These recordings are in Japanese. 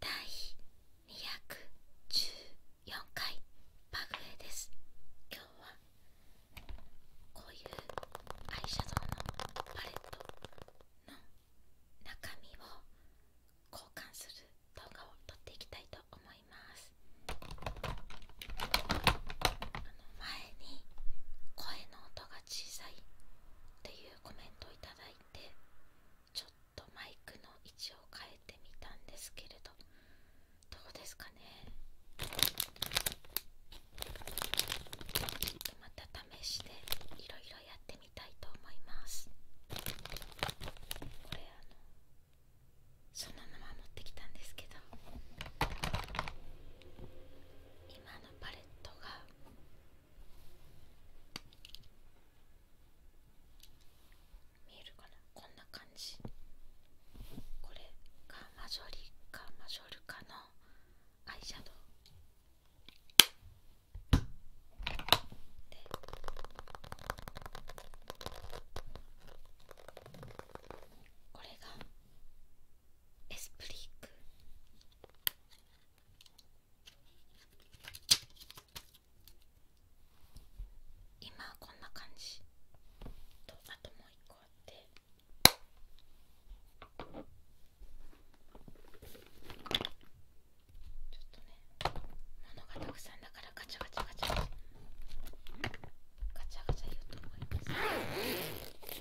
第214回バグエです今日はこういうアイシャドウのパレットの中身を交換する動画を撮っていきたいと思います前に声の音が小さいっていうコメントをいただいてちょっとマイクの位置を変えてみたんですけれどどうですかねちょっとまた試していろいろやってみたいと思いますこれあのそのまま持ってきたんですけど今のパレットが見えるかなこんな感じこれがマジョリカマジョルカのアイシャドウでこれがエスプリーク今はこんな感じとあともう一個あってちょっとね物がたくさんだからガチャガチャガチャガチャガチャガチャ言うと思います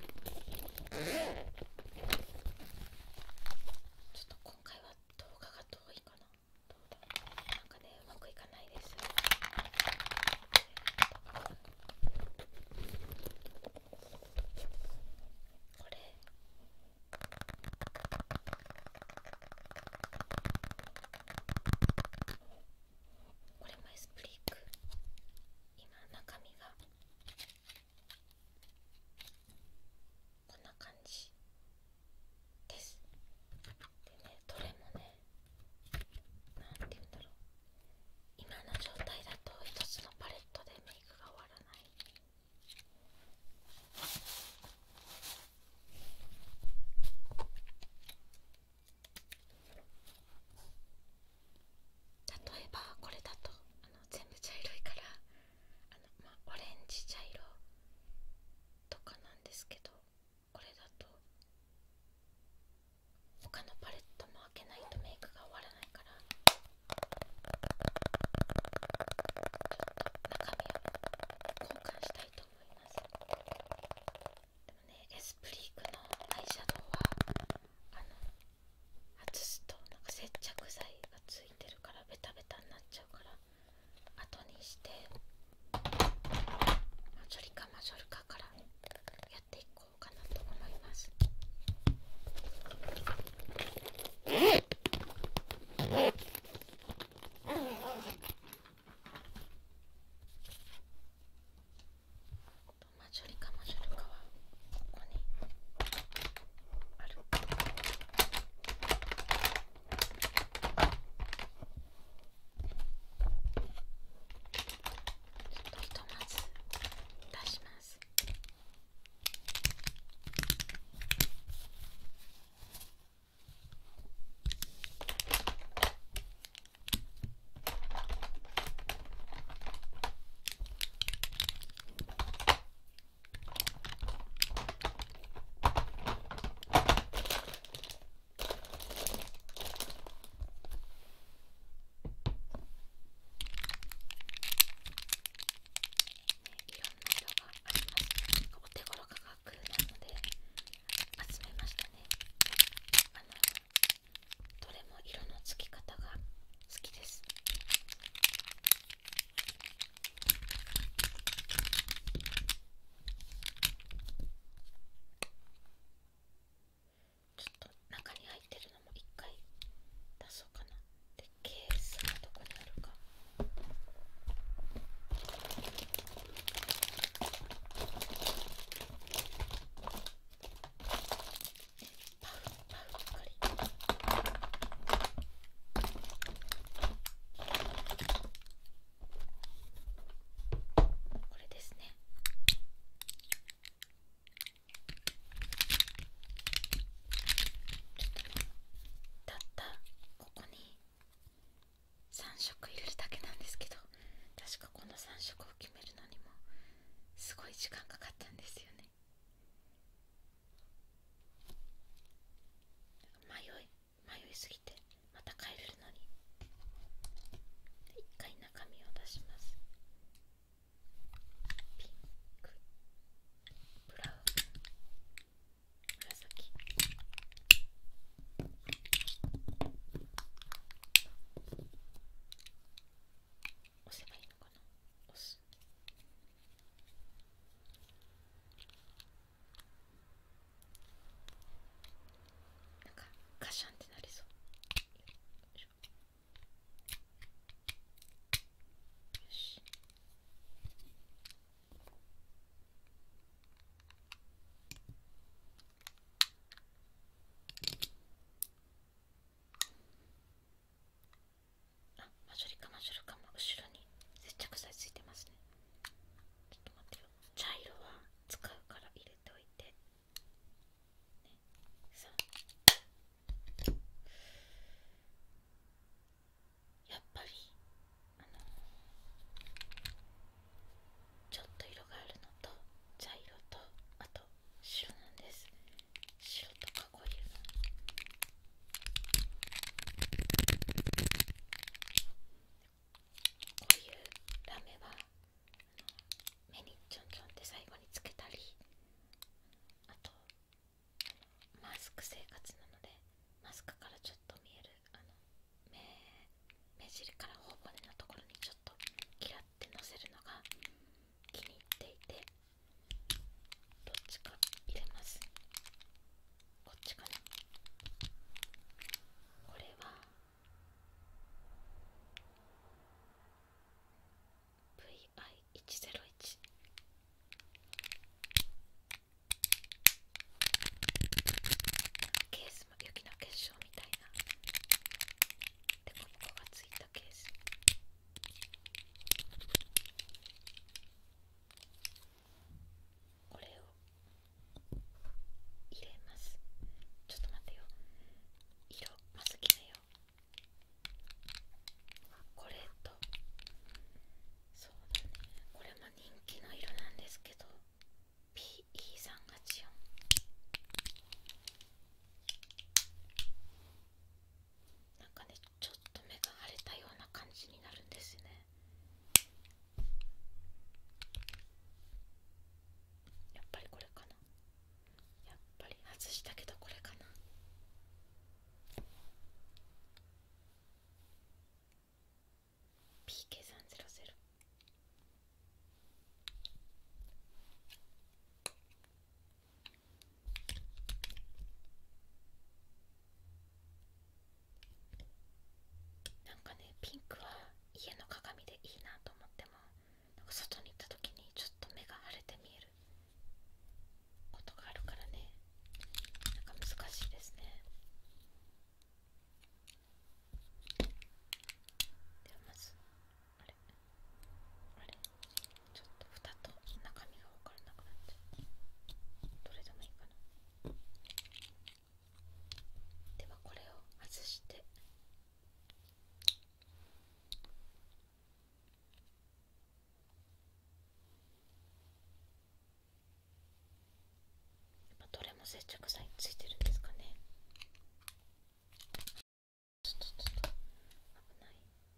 ちょっと今回は動画が遠いかなどうなんかねうまくいかないですこれこれマイスプリック今中身がこんな感じでねどれもねなんて言うんだろう今の状態だと一つのパレットでメイクが終わらない例えばこれだとあの全部茶色いからあのまあオレンジ茶色とかなんですけどこれだと他のパレットも開けないとメイクが終わらないからちょっと中身を交換したいと思いますでもねエスプリークのアイシャドウはあの外すとなんか接着剤がついいてるからベタベタになっちゃうから後にしてマジョリカマジョルカからやっていこうかなと思います。マジョリカマジョルカはここにちょっとひとまず出しますお手頃価格なので集めましたねあのどれも色のつき方が好きですちょっと中に入ってるのも一回出そうかなでケースがどこにあるかパウこれですねたったここに3色入れるだけなんですけど確かこの3色を決めるのにもすごい時間かかったんですよね迷い迷いすぎてまた帰れるのに一回中身を出しますピンクブラウン紫押せばいいのかな押すまなんかカシャンってなりそう。よし。よマジョリカマジョリカも後ろに接着剤ついてますねちょっと待ってよ茶色は使うから入れておいてやっぱりちょっと色があるのと茶色とあと白なんです白とこういうラメは目にちょんちょんって最後につけたりあとマスク生活なのでマスクからちょっと見えるあの目目尻から頬骨のところにちょっと嫌ってのせるのが気に入っていてどっちか入れますこっちかなこれは VI101 ケースも雪の結晶みたいなでここがついたケースこれを入れますちょっと待ってよ色まず決めようこれとそうだねこれも人気の色なんですけど PE384 なんかねちょっと目が腫れたような感じになるんですねやっぱりこれかなやっぱり外したけどこれかな「PK300」なんかねピンクは家の鏡でいいなと思ってもなんか外に行った時にちょっと目が腫れて見えることがあるからねなんか難しいですねではまずあれあれちょっと蓋と中身が分からなくなっちゃうどれでもいいかなではこれを外してどれも接着剤ついてるんですかねちょっとちょっと危ない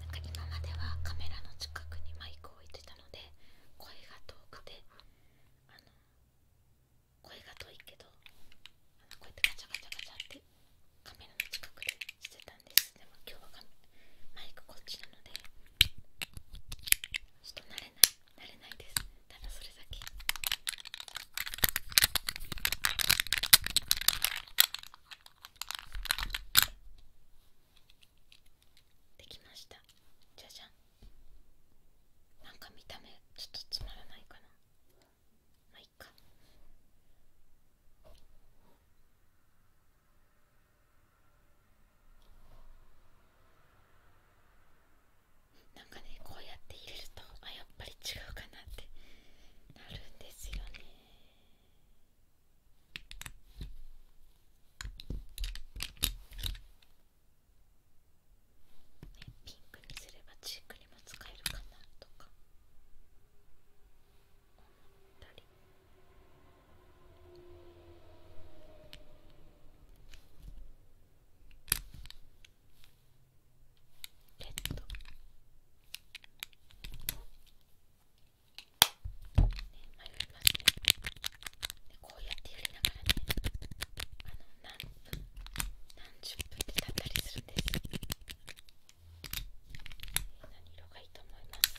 なんか今まではカメラの近くにマイクを置いてたので声が遠くてあの声が遠いけどこうやってガチャガチャガチャってカメラの近くでしてたんですでも今日はマイクこっちなのでちょっと慣れない慣れないですただそれだけできましたじゃじゃんなんか見た目ちょっとつまらないかなまあいいかなんかねこうやって入れるとあやっぱり違うかなってなるんですよねピンクにすればチークにも使えるかなとか思ったりレッド、ね、迷いますねこうやってやりながらねあの何何十分で経ったりするんです何色がいいと思います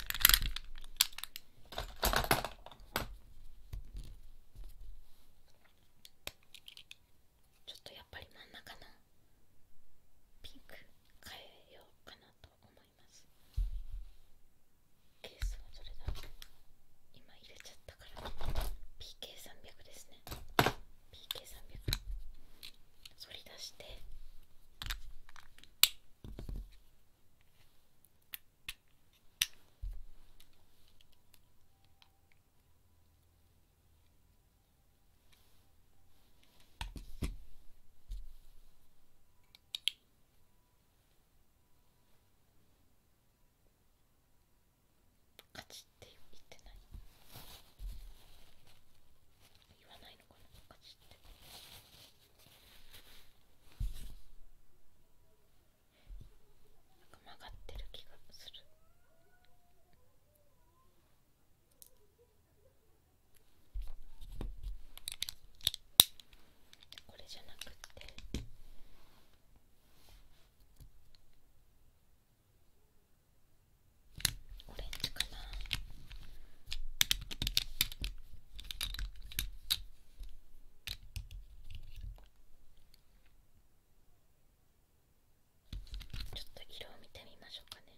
ちょっとやっぱり真ん中のピンク変えようかなと思いますケースはどれだ今入れちゃったから PK300 ですねね PK300 反り出してこカチって言ってない言わないのかなカチってなんか曲がってる気がするこれじゃなくて。オレンジかなちょっと色を見てみましょうかね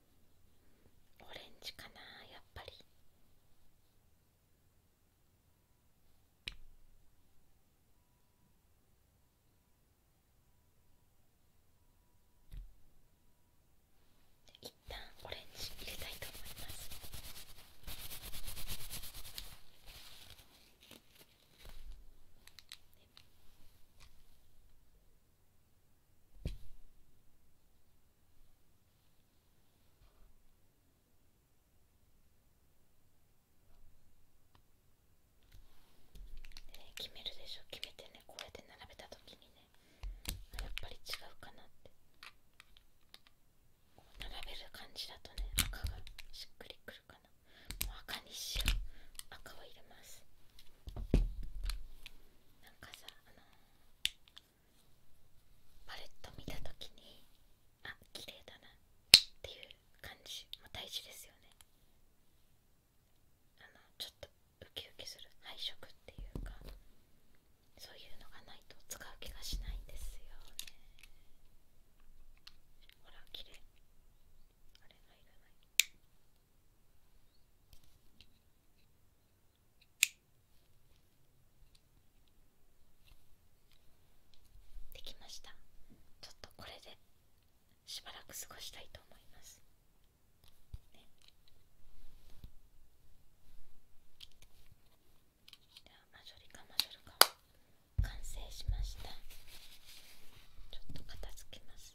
オレンジかなやっぱり一旦オレンジ入れたいと思いますね、決めるでしょ決めてねこうやって並べた時にねやっぱり違うかなってこう並べる感じだとね赤がしっくりくるかなもう赤にしよう赤を入れますなんかさあのパレット見た時にあ綺麗だなっていう感じも大事ですよねあのちょっとウキウキする配色っていうかそういうのがないと使う気がしないんですよねほら綺麗あれがいらないできましたちょっとこれでしばらく過ごしたいと思います、ではマジョリカマジョルカ完成しましたちょっと片付けます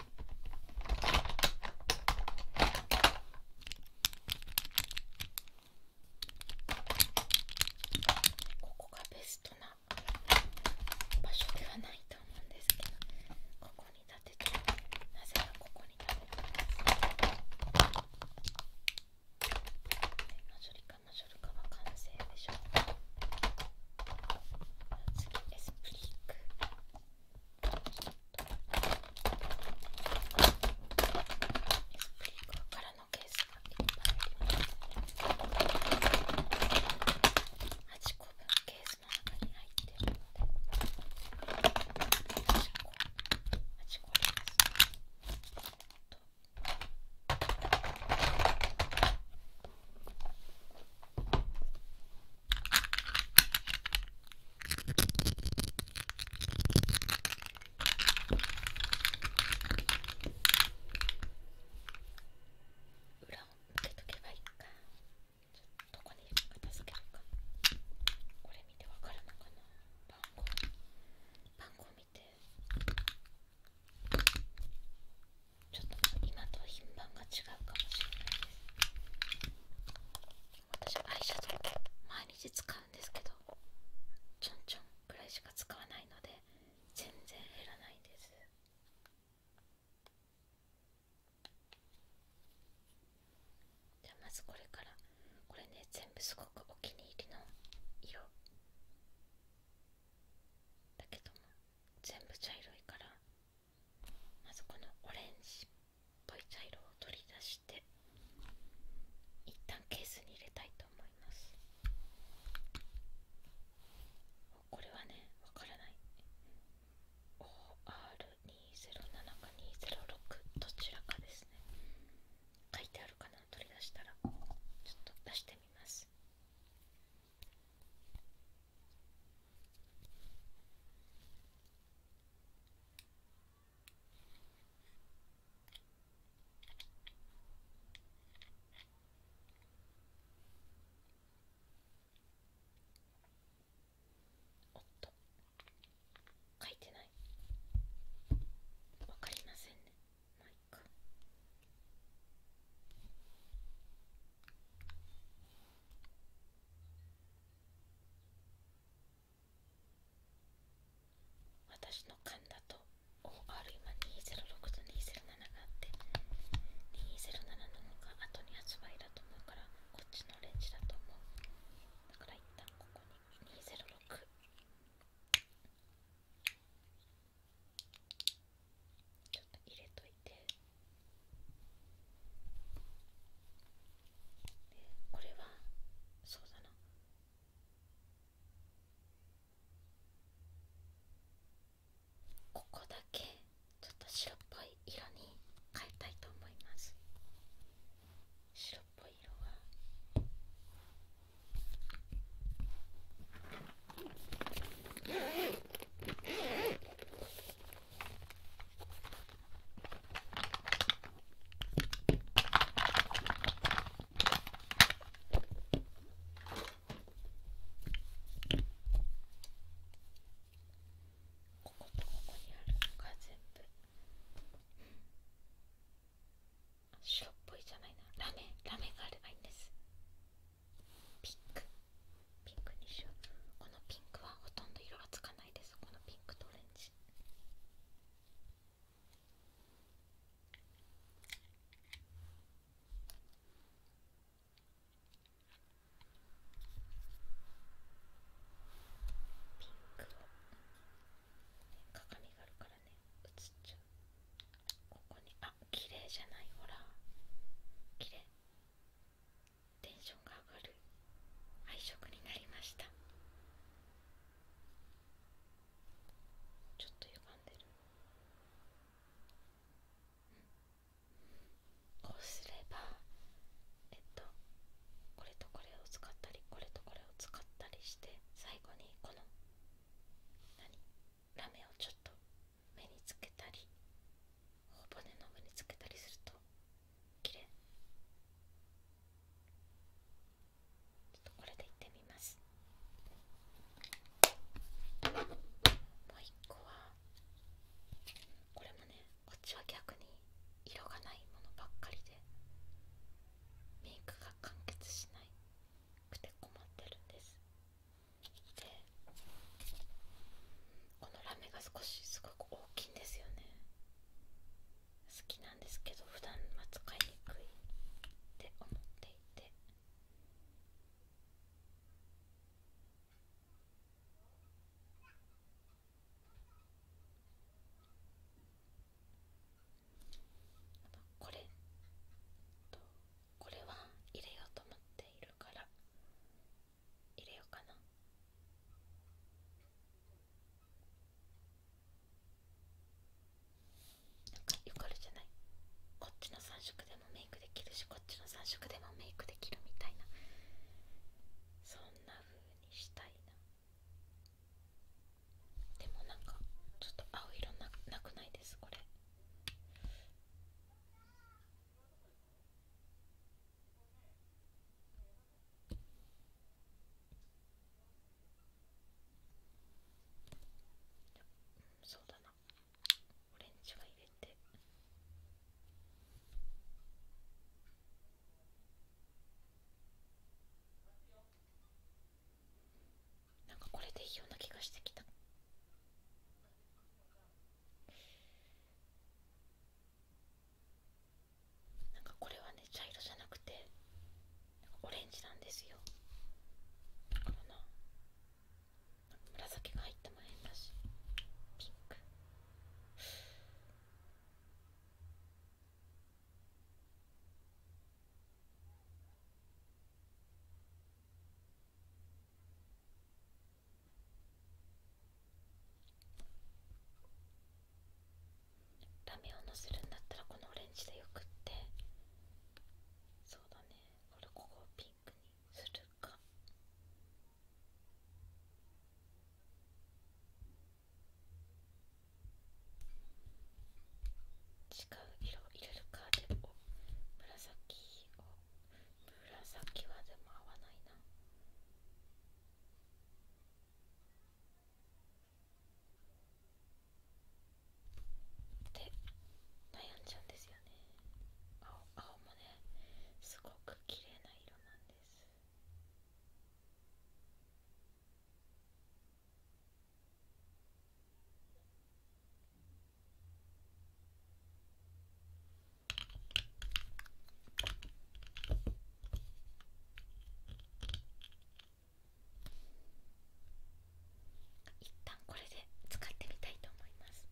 ここがベストな場所ではないと思うんですけどここに立ててなぜかここに立ててますョリカマジョリカは完成でしょう次エスプリックからのケースがいっぱいあります8個分ケースの中に入っているので8個8個あります、ね、と裏を向けとけばいいかどこに片付けるかこれ見てわかるのかな番号番号見てちょっと今と品番が違うかもしれないです私アイシャドウ毎日使うんですけどちょんちょんくらいしか使わないので全然減らないですじゃあまずこれからこれね全部すごくお気に入りの色だけども全部茶色いからまずこのオレンジっぽい茶色を取り出して一旦ケースに入れたいと思いますこれはねわからない OR207 か206どちらかですね書いてあるかな取り出したらちょっと出してみますおっと書いてないわかりませんねまあいか私の勘だと OR 今206と207があって207の方が後に発売だと思うからこっちのレンジだと思うだから一旦ここに206ちょっと入れといて。これはそうだなここだけちょっと白っぽい色に変えたいと思います白っぽい色はこことここにあるのが全部白っぽいじゃないなラメラメがあればいいんですピンクピンクにしようこのピンクはほとんど色がつかないピンクとオレンジピンクを、鏡があるからね映っちゃうここにあ綺麗じゃないほら綺麗テンションが上がる配色になりましたちょっと歪んでる、こうすればえっとこれとこれを使ったりこれとこれを使ったりして最後にこの何ラメをちょっと目につけたり頬骨の上につけたりすると綺麗これでいってみますもう一個はこれもねこっちは逆に色がないものばっかりでメイクが完結しなくて困ってるんですでこのラメが少しすごく大きいんですよね好きなんですけど普段は使いにくいって思っていてこれとこれは入れようと思っているから入れようかななんかよかあるじゃないこっちの3色でもメイクできるしこっちの3色でもメイクできるみたいなそんなふうにしたいなでもなんかちょっと青色ななくないですこれそうだなオレンジは入れてなんかこれでいいような気がしてきたなんかこれはね茶色じゃなくてオレンジなんですよだからな紫が入ってもええんだしピンクラメをのせるんだったらこのオレンジでよくってそうだねこれここをピンクにするか違う色を入れるかでも紫を紫はでも合わないなで悩んじゃうんですよね青青もねすごく綺麗な色なんです一旦これで使ってみたいと思います。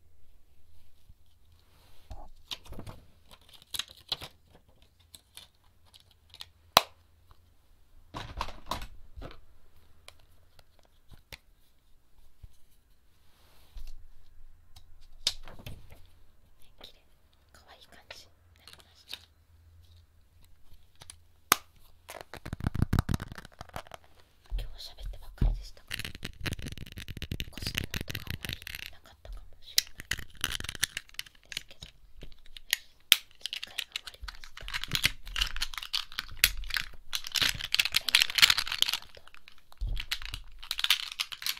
綺麗可愛い感じになりました。今日喋ってばかりでしたから、個とかあまりなかったかもしれないですけど、次回が終わりました。最後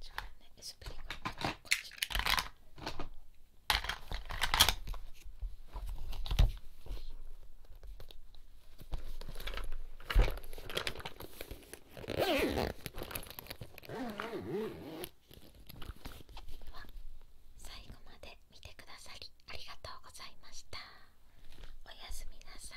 じゃあねエスプリがこっちに最後まで見てくださりありがとうございましたおやすみなさい